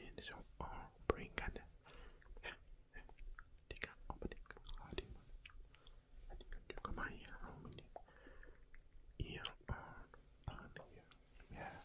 いいでしょう。プリンがね。Die kann unbedingt gerade jemand. Die könnt ihr mal hier unbedingt. Ihr und an hier. Ja.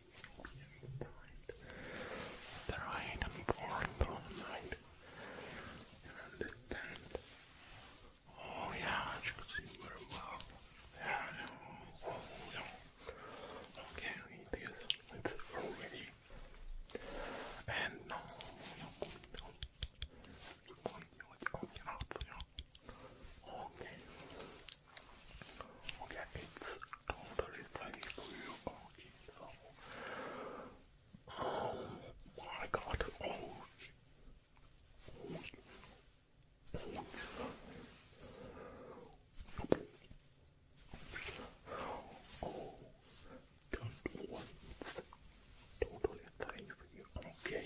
The right and born through night. You understand? Oh yeah, you could see very well. Yeah, yeah. Oh yeah. Okay, it is. It's already. And no, you Okay. Okay, it's totally fine for you. Oh my god. Oh. Oh. Oh. Oh. Don't once. Totally fine for you. Okay.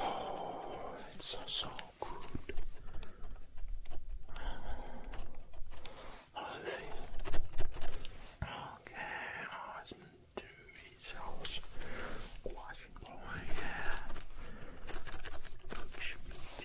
Oh, it's so, so good. I think. Okay, I was to results. Washing away, yeah. Push me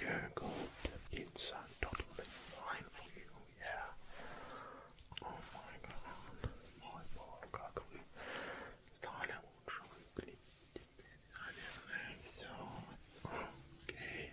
You're going to pizza totally fine for you, yeah. Oh my god, мой бог, как вы стали лучше выглядеть теперь, наверное, все. Окей.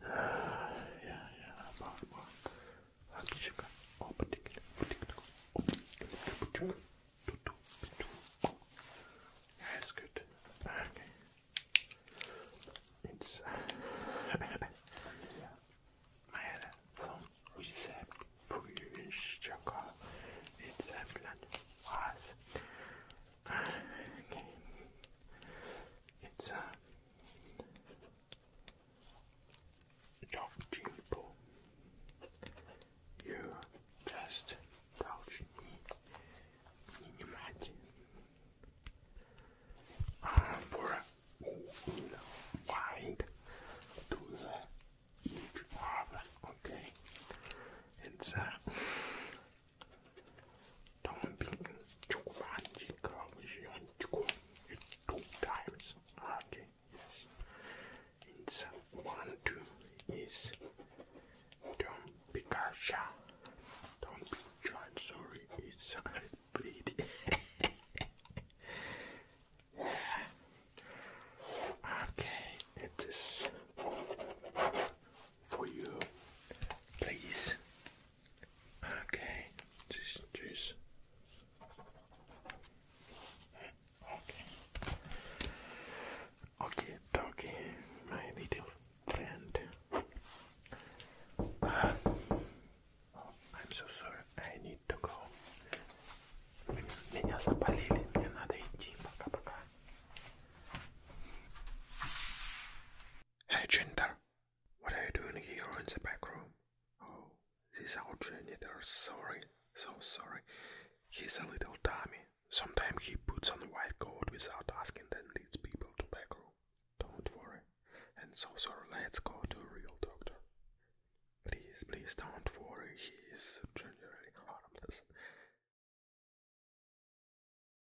yeah, yeah, about what? Hakişika, o patikli, patikli, o patikli, tutu, tutu, yeah, it's good, okay, it's, Mayada son resept buluşacak receptler var. Okay. It's a uh, Jogjipo. You just touch me внимательно. Uh, for a wide to each other, okay? It's a uh, Downbeaten you two times. Okay, yes. It's one two is don't be gotcha. Don't be giant, sorry, it's pretty Okay, it is for you, please. Okay, just juice. Okay. Okay, doggy, my little friend. Uh, I'm so sorry, I need to go. Меня запалили, мне надо идти. Пока-пока. Hey Jinder, what are you doing here in the back room? Oh, this our janitor, sorry, so sorry. He's a little dummy. Sometimes he puts on a white coat without asking and leads people to back room. Don't worry. And so sorry, let's go to a real doctor. Please, please don't worry, he is generally harmless.